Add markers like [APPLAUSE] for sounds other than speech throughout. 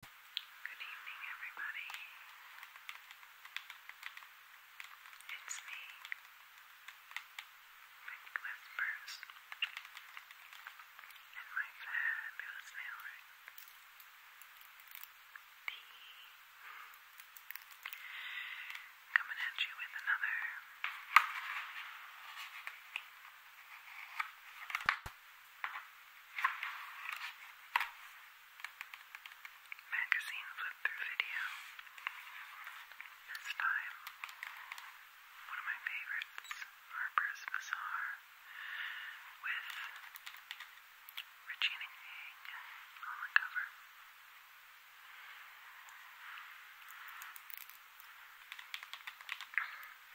Good evening, everybody. It's me, Rick Whispers, and my fabulous nail ring. Coming at you with another Magazine flip through video. This time, one of my favorites, Harper's Bazaar, with Regina King on the cover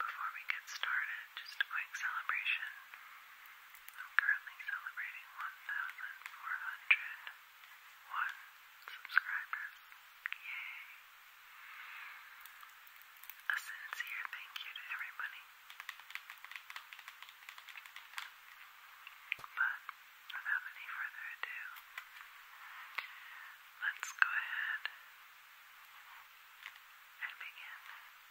before we get started, just a quick celebration. I'm currently celebrating 1,401 subscribers. Yay! A sincere thank you to everybody. But without any further ado, let's go ahead and begin.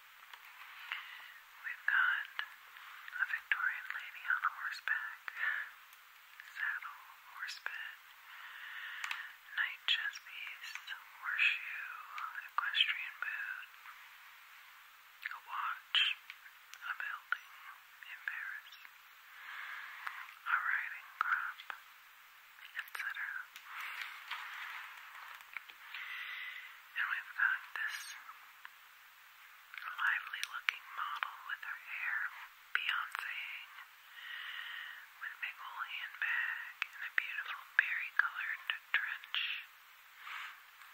We've got a Victorian lady on horseback, saddle, horse bed, knight chess horseshoe, equestrian boot, a watch, a building in Paris, a riding crop, etc. And we've got this a lively looking model with her hair Beyonceing, with big old handbag and a beautiful berry colored trench,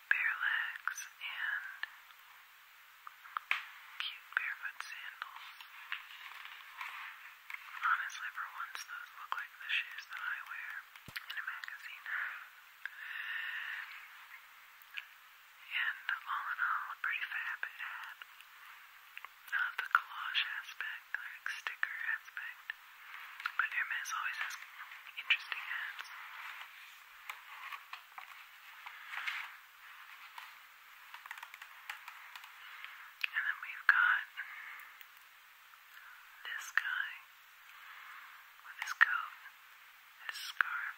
bare legs, and cute barefoot sandals. Honestly, for once, those look like the shoes that I wear in a magazine. And all in all, a pretty fab ad. Not the collage aspect, like sticker aspect, but Hermes always has interesting ads. And then we've got this guy. With his coat, his scarf,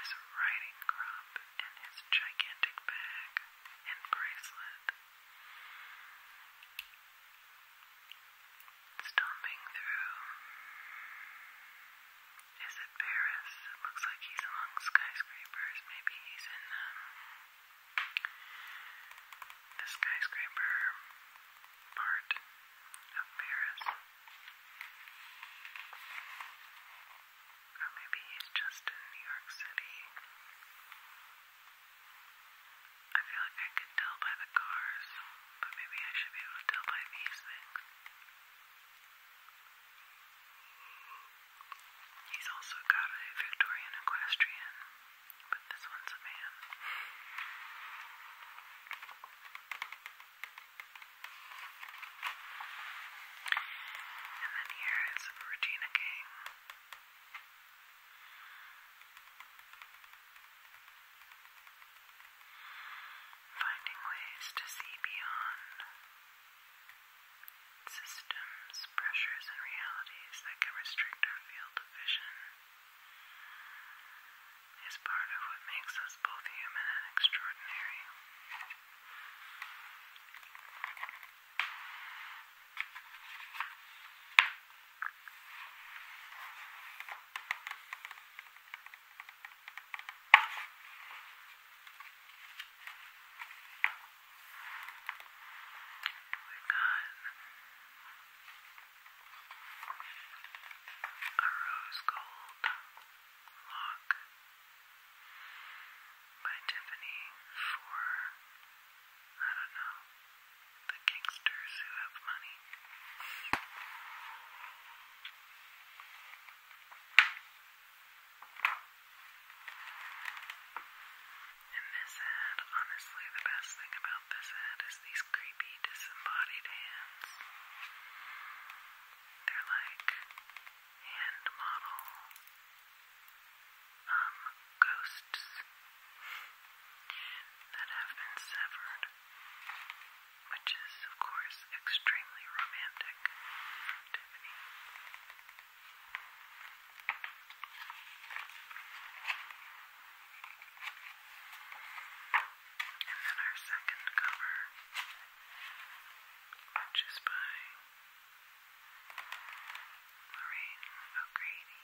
his riding crop, and his gigantic bag and bracelet. Stomping through. Is it Paris? It looks like he's among skyscrapers. Maybe he's in um, the skyscraper part of Paris. Or maybe he's just in New York City. I feel like I could tell by the cars, but maybe I should be able to tell by these things. He's also got a Victorian equestrian, but this one's a man. And then here is Regina King. Finding ways to see beyond systems, pressures, and realities that can restrict our field of vision is part of what makes us both human and extraordinary. we a rose gold lock by Tiffany for I don't know the gangsters who have money. And this ad, honestly, the best thing about this ad is these creepy disembodied hands. They're like hand model um, ghosts that have been severed, which is of course extremely romantic Tiffany. And then our second cover, which is by Lorraine O'Grady.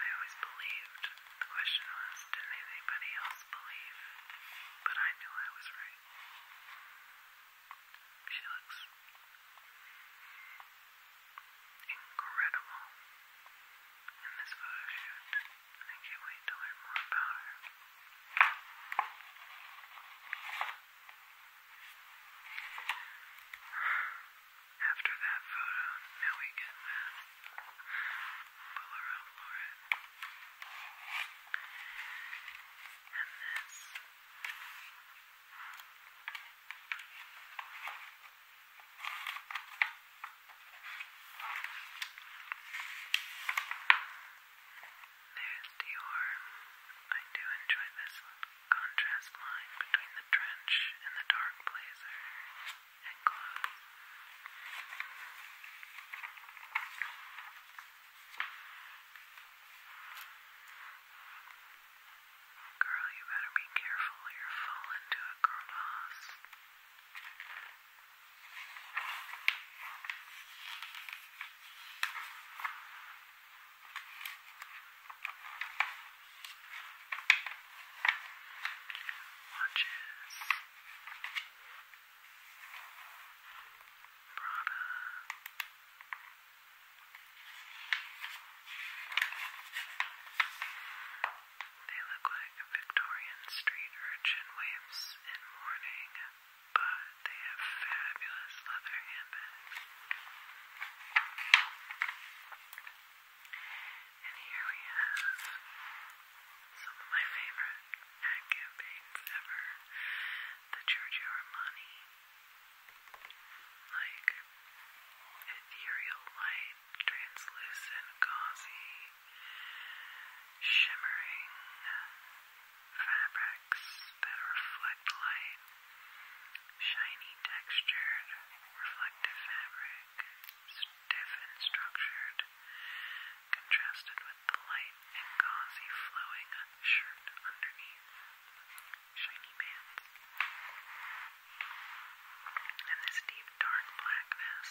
I always believed, the question was, didn't anybody else believe? But I knew I was right. She looks incredible in this photo shoot. I can't wait to learn more about her. After that photo, now we get that Polaroid Lauren. And this. There's Dior. I do enjoy this contrast line between the trench and the dark blazer and Girl, you better be careful you'll fall into a crevasse. Watches, Prada. They look like Victorian street urchin waifs in mourning, but they have fabulous leather handbags. And here we have some of my favorite ad campaigns ever. The Giorgio Armani, like ethereal light, translucent, gauzy, shimmering fabrics that reflect light, shiny textured, reflective fabric, stiff and structured, contrasted with the light and gauzy flowing shirt underneath. Shiny pants. And this deep dark blackness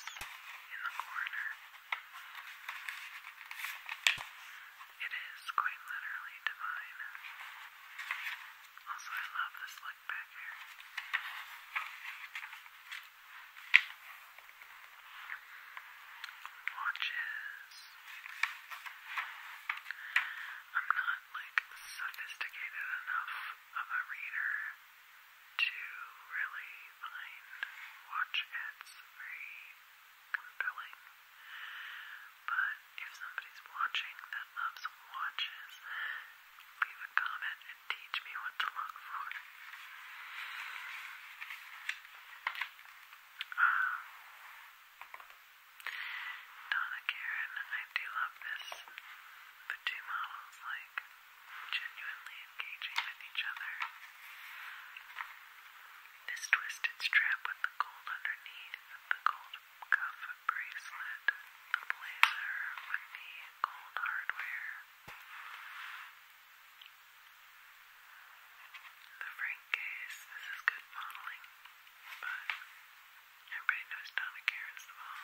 in the corner. It is quite literally divine. Also, I love this look back here. Watches. I'm not like sophisticated enough of a reader to really find watch ads very compelling. But if somebody's watching that loves watches, leave a comment and teach me what to look for. Um, Donna Karen, I do love this. The two models, like genuinely engaging with each other. This twisted strap with the gold underneath, the gold cuff bracelet, the blazer with the gold hardware, the frank case. This is good modeling, but everybody knows Donna Karen's the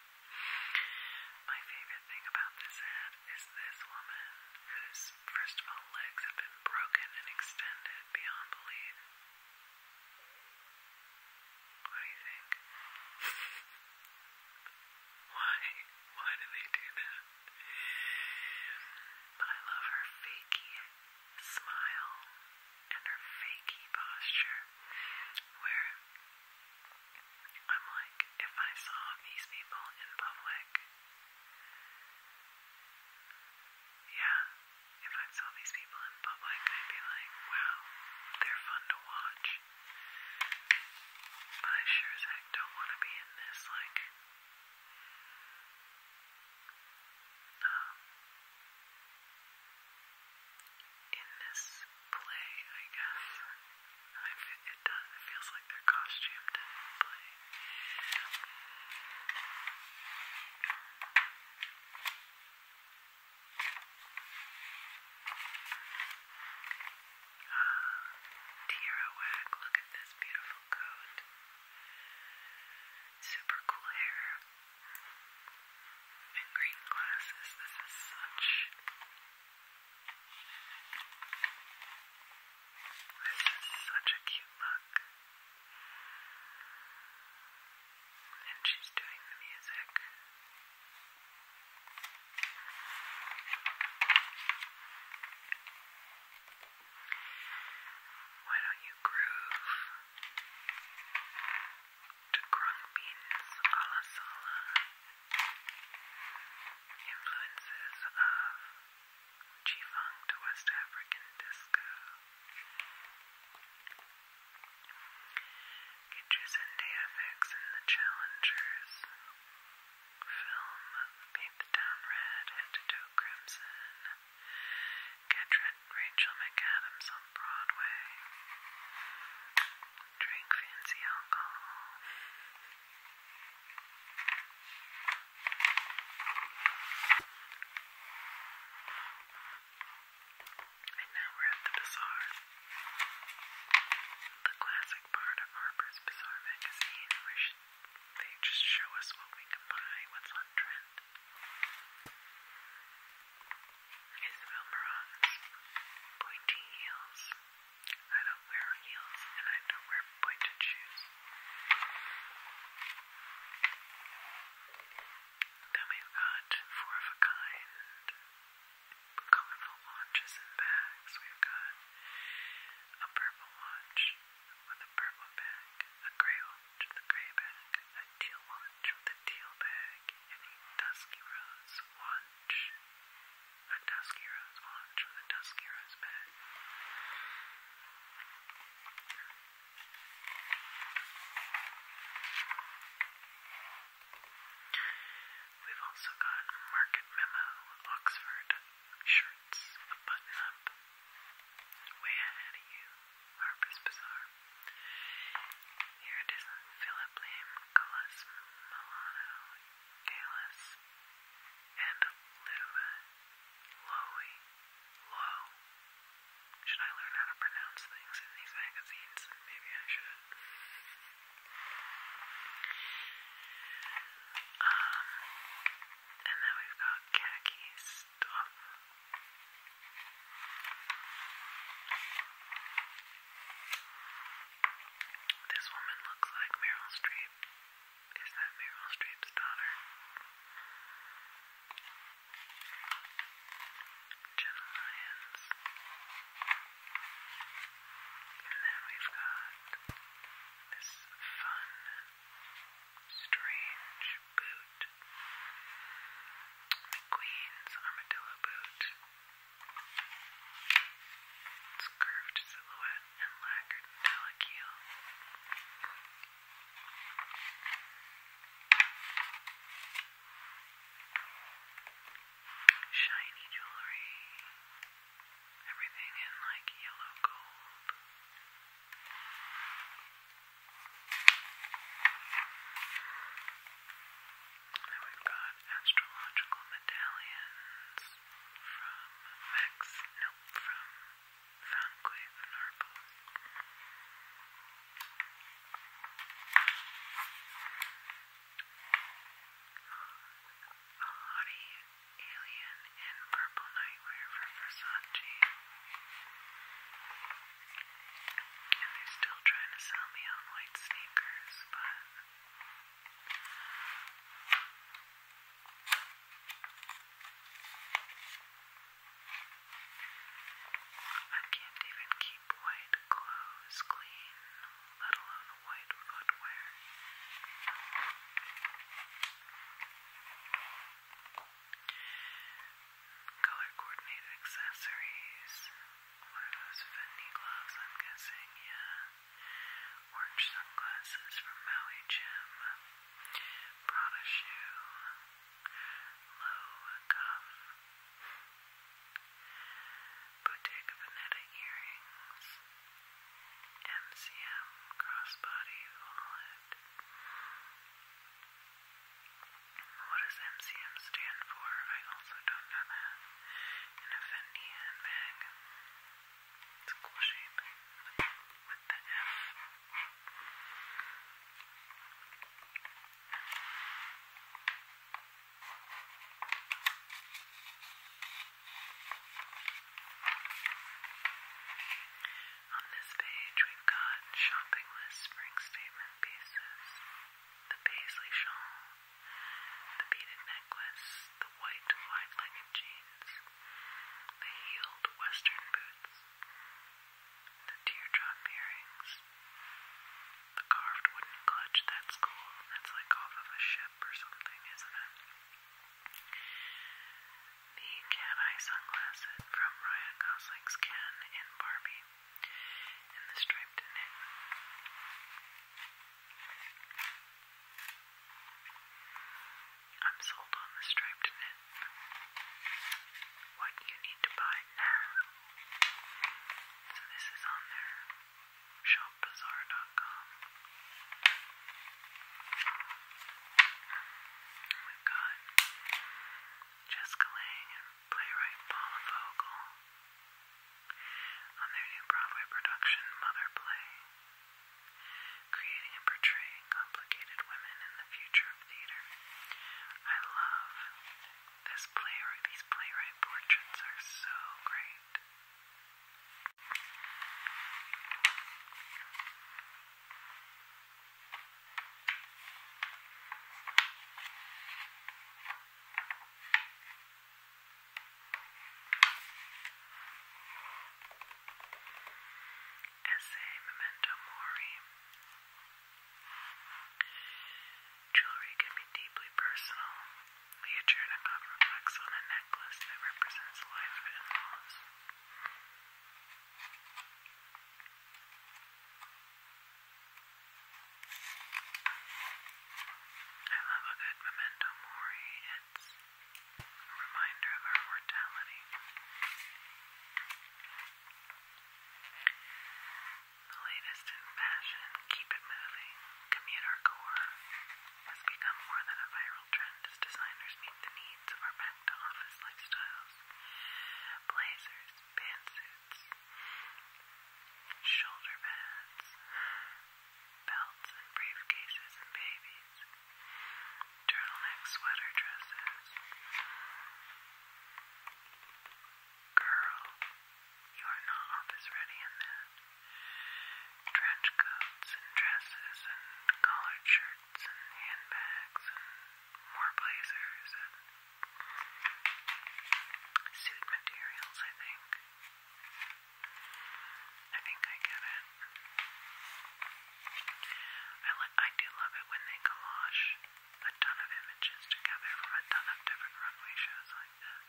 My favorite thing about this ad is this woman whose, first of all, legs have been broken and extended beyond belief. What do you think? [LAUGHS] Why? Why do they do that? But I love her fakey smile and her fakey posture where I'm like, if I saw these people in public, yeah, if I saw these people in public, I'd be like, wow, they're fun to watch. But I sure as heck don't want to be in this, like, no in this play, I guess. it does, it feels like they're costumed in play. Ah, look at this beautiful coat. Super cool hair green glasses. This is such this is such a cute look. And she's doing the music. Why don't you groove? grung beans a la sola, influences of G-funk to West African disco. Get your Sunday FX and the Challengers. Film Paint the Town Red, Head to Toe Crimson. Catch Rachel McAdams on Broadway drink fancy alcohol. And now we're at the bazaar. The classic part of Harper's Bazaar magazine where they just show us what we can buy, what's on trend. Israel Morant's pointy heels. I don't wear heels and I don't wear pointed shoes. Then we've got four of a kind colorful watches and bags. We've got a purple watch with a purple bag, a gray watch with a gray bag, a teal watch with a teal bag, and a dusky rose one a dusk hero's watch with a dusk hero's bed. We've also got Market Memo, Oxford shirts, a button up, way ahead of you, Harper's Bazaar. Here it is Philip Lim Nicholas Milano, Galis, and Luba Lowy Low. Should I learn how to pronounce things in these magazines? Maybe I should. Um, and then we've got khaki stuff. This woman looks like Meryl Streep. Is that Meryl Streep's daughter? Jenna Lyons. And then we've got this fun, strange boot. McQueen's armadillo boot. Its curved silhouette and lacquered metallic heel. Shiny jewelry. Everything in like yellow gold. It's we've got astrological medallions from Max, no, from Foundquake of Narcos. A haughty alien in purple nightwear from Versace. And they're still trying to sell me on white sneakers, but I can't even keep white clothes clean, let alone white footwear. Color coordinated accessories, what are those Fendi gloves? I'm guessing, yeah. Orange sunglasses from Maui Jim. Prada shoe. Low Bottega Veneta earrings. MCM crossbody wallet. What does MCM stand for? I also don't know that in a Fendi handbag. It's cool shape with, the F. On this page, we've got shopping list spring statement pieces. The paisley shawl the beaded necklace, the white wide-legged jeans, the heeled western boots, the teardrop earrings, the carved wooden clutch, that's cool. That's like off of a ship or something, isn't it? The cat-eye sunglasses from Ryan Gosling's Ken in Barbie, and the striped knit. I'm sold on the striped knit. What you need to buy now. So this is on their shopbazaar.com. we got Jessica Lange and playwright Paula Vogel on their new Broadway production, Mother Play, creating and portraying complicated women in the future of theater. I love this playwright. These playwright portraits are so great. Essay Memento Mori. Jewelry can be deeply personal. Leah Chernikov reflects on a necklace that represents life and loss. I love a good memento mori. It's a reminder of our mortality. The latest in fashion, keep it moving, commute our core, has become more than a viral trend as designers meet the needs of our back office lifestyles. Blazers, pantsuits, shoulder pads, belts and briefcases and babies, turtleneck sweater dresses. Girl, you are not office ready in that. Trench coats and dresses and collared shirts and handbags and more blazers and suit materials, I think. I think I get it. I, I do love it when they collage a ton of images together from a ton of different runway shows like this.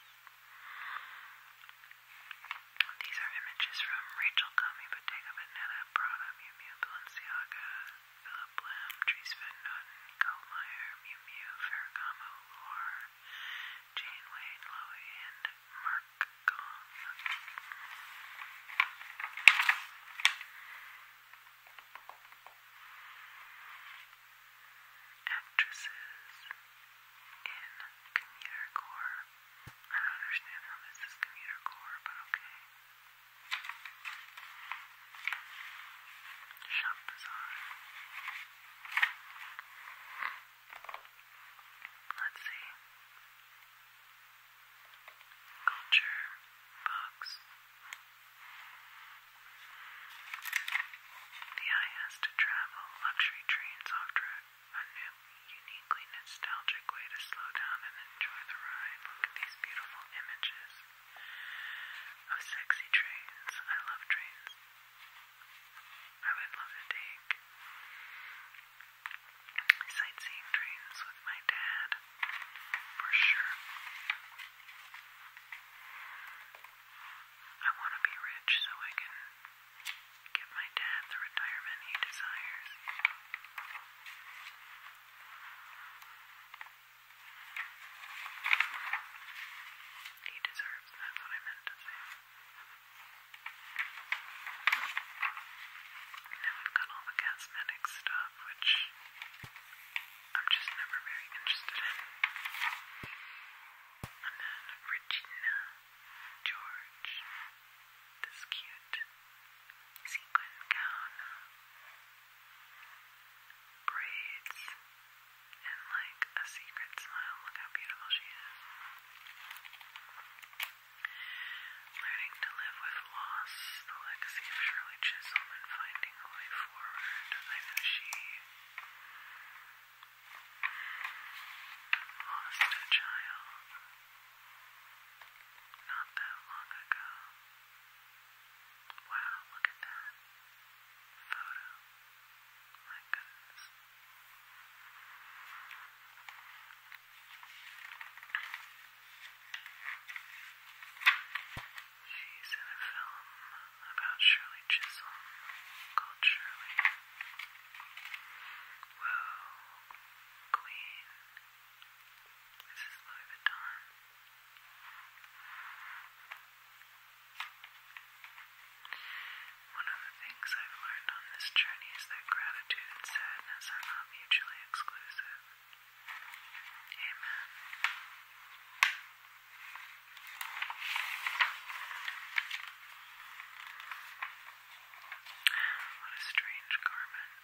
These are images from Rachel Comey, Bottega Veneta, Prada, Miu Miu, Balenciaga, Philip Lim, Dries Van Noten, Miu Miu, Ferragamo, Loire, Janeway, Lowy, and Mark Actresses in commuter core. I don't understand how this is commuter core, but okay. Shop Bazaar. Let's see. Culture box. The eye has to travel. Luxury trains offer a new, uniquely nostalgic way to slow down and enjoy the ride. Look at these beautiful images of sexy trains. I love trains. I would love to take sightseeing trains with my dad for sure. I want to be rich so I can give my dad the retirement he desires. He deserves, that's what I meant to say. Now I've got all the cosmetic stuff, which I'm just never very interested in. And then Regina George, this cute sequin gown, braids, and like a secret smile. Look how beautiful she is. Learning to live with loss, the legacy of Shirley Chisholm, finding a way forward. I know she lost a child not that long ago. Wow, look at that photo. My goodness. She's in a film about Shirley Chisholm called Shirley. Whoa, Queen. This is Louis Vuitton. One of the things I've learned on this journey is that gratitude and sadness are not mutually exclusive. Amen. What a strange garment.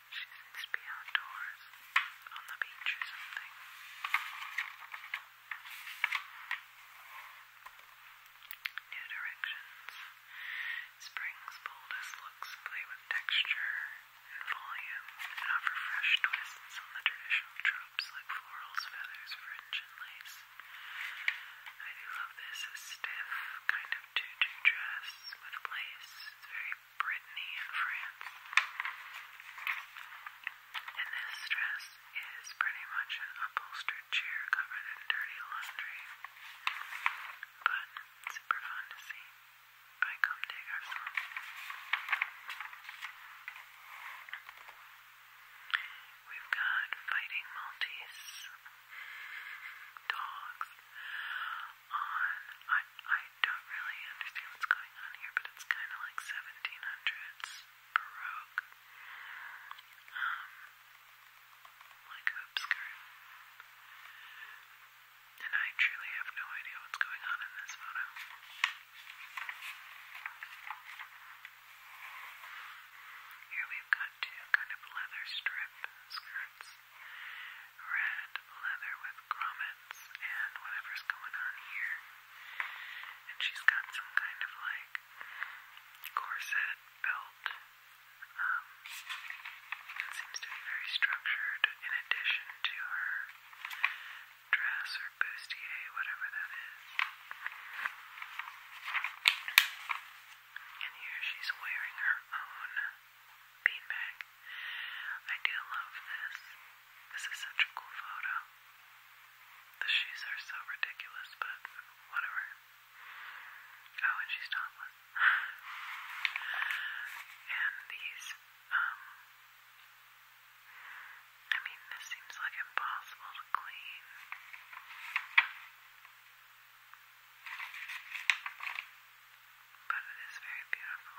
She needs to be outdoors, on the beach or something. New directions. Spring's boldest looks play with texture and volume and offer fresh twists on the traditional tropes like florals, feathers, fringe, and lace. I do love this, stiff kind of tutu dress with lace. It's very Brittany in France. And this dress is pretty much an upholstered chair covered in dirty laundry. But super fun to see by Comme des Garçons. We've got fighting Maltese dogs on. I I don't really understand what's going on here, but it's kind of like 1700s baroque, um, like hoop And I truly have no idea what's going on in this photo. Here we've got two kind of leather strip skirts red leather with grommets and whatever's going on here. And she's got some kind of like corset belt. Um, it seems to be very structured in addition to her dress or bustier, whatever that is. And here she's wearing her own beanbag. I do love this. This is such a cool photo. The shoes are so ridiculous, but whatever. Oh, and she's topless. [LAUGHS] and these, um, I mean, this seems like impossible to clean but it is very beautiful.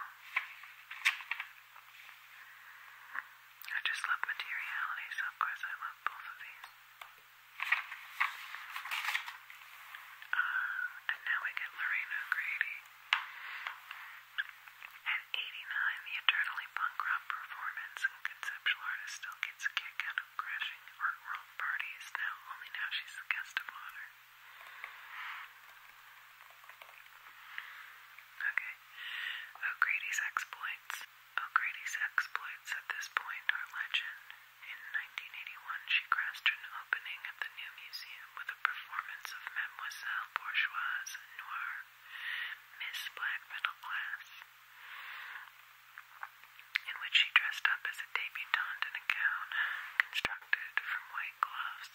I just love materiality, so of course I love both of these. Uh, and now we get Lorraine O'Grady. At 89, the eternally punk rock performance and conceptual artist still gets a kick out of crashing art world parties. Now, only now she's the guest of honor. Okay. O'Grady's exploits. O'Grady's exploits at this point are legend. In 1981, she crashed an opening at the New Museum with a performance of Mademoiselle Bourgeoise Noir, Miss Black Middle Class, in which she dressed up as a debutante in a gown constructed from white white gloves,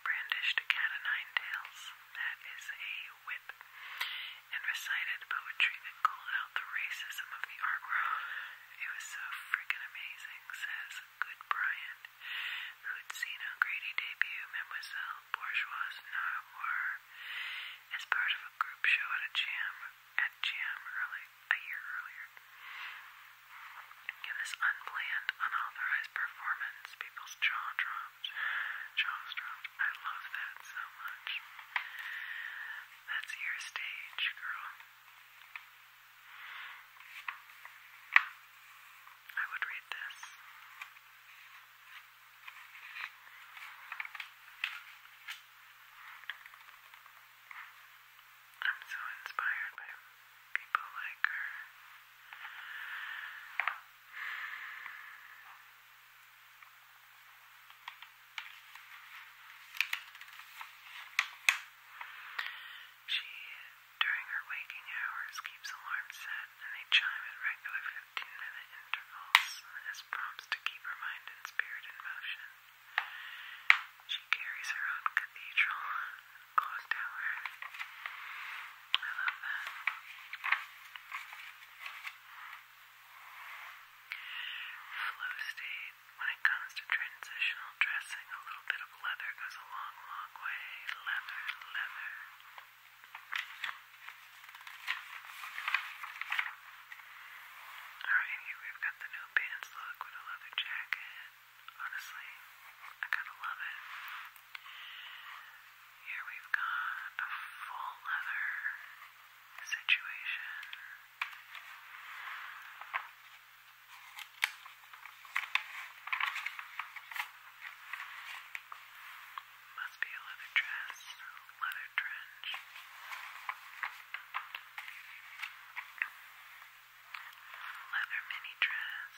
brandished cat o' nine tails, that is a whip, and recited poetry that called out the racism of the art world. It was so freaking amazing, says Good Bryant, who'd seen O'Grady debut Mademoiselle Bourgeois Noir as part of a group show at a jam at Jam early this unplanned, unauthorized performance, people's jaw dropped, jaws dropped. I love that so much. That's your stage, girl. I would read this. I'm so inspired by people like her. She, during her waking hours, keeps alarms set and they chime at regular 15 minute intervals as prompts to keep her mind and spirit in motion. She carries her own cathedral clock tower. I love that. Flow state. When it comes to transitional dressing, a little bit of leather goes a long, long way. Leather, leather. Alright, here we've got the no pants look with a leather jacket honestly, I kind of love it. Here we've got a full leather situation. Must be a leather dress, leather trench leather mini dress.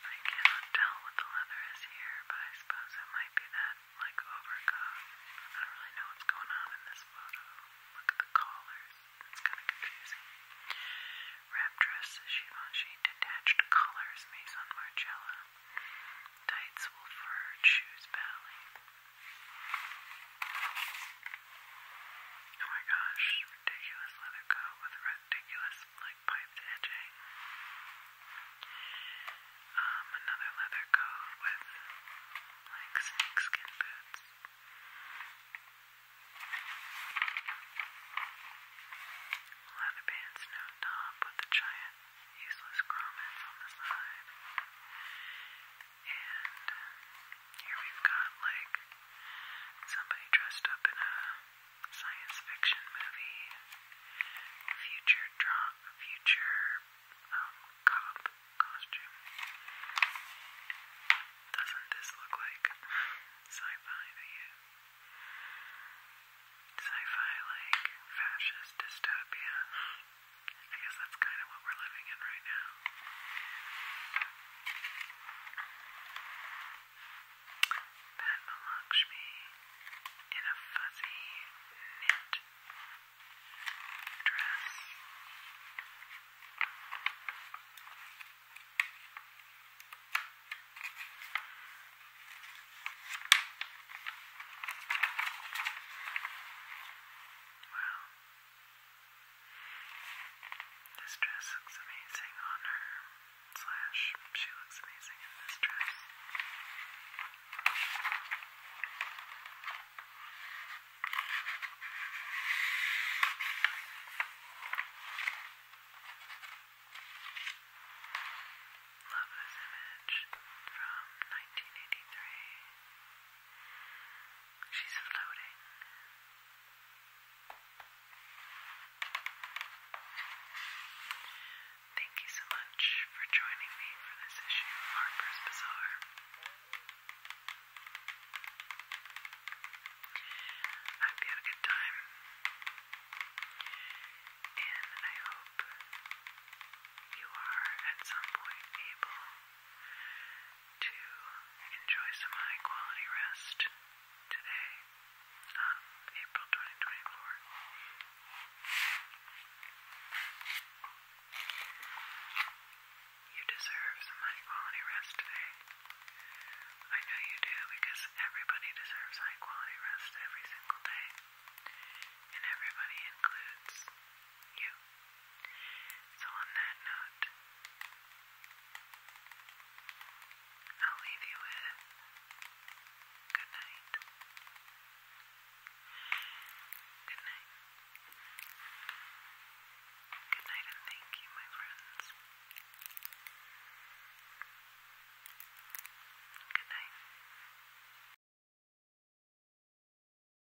I cannot tell what the leather is here, but I suppose it might be that like overcoat. I don't really know what's going on in this photo. Look at the collars. It's kind of confusing. Wrap dress, Givenchy, detached collars, Maison Margiela. Tights, wool fur, shoes, ballet. Oh my gosh, ridiculous leather coat with ridiculous like piped edging. Um, another leather coat with like snakeskin boots. Leather pants, no top with the giant useless grommets on the side. And here we've got like somebody dressed up in a science fiction movie, future drop, future um, cop costume. Doesn't this look like sci-fi to you? Sci-fi like fascist dystopia. I that's kind of what we're living in right now. Padma Lakshmi in a fuzzy knit dress. Well, this dress looks amazing on her, slash, she looks amazing in this dress. Love image from 1983. She's floating. Thank you so much for joining me for this issue of Harper's Bazaar. I hope you had a good time. And I hope you are at some point able to enjoy some high quality rest today on um, April 2024. You deserve some high quality rest today. I know you do because everybody deserves high quality rest every single day, and everybody includes you. So, on that note, I'll leave you with good night. Good night. Good night, and thank you, my friends. Good night.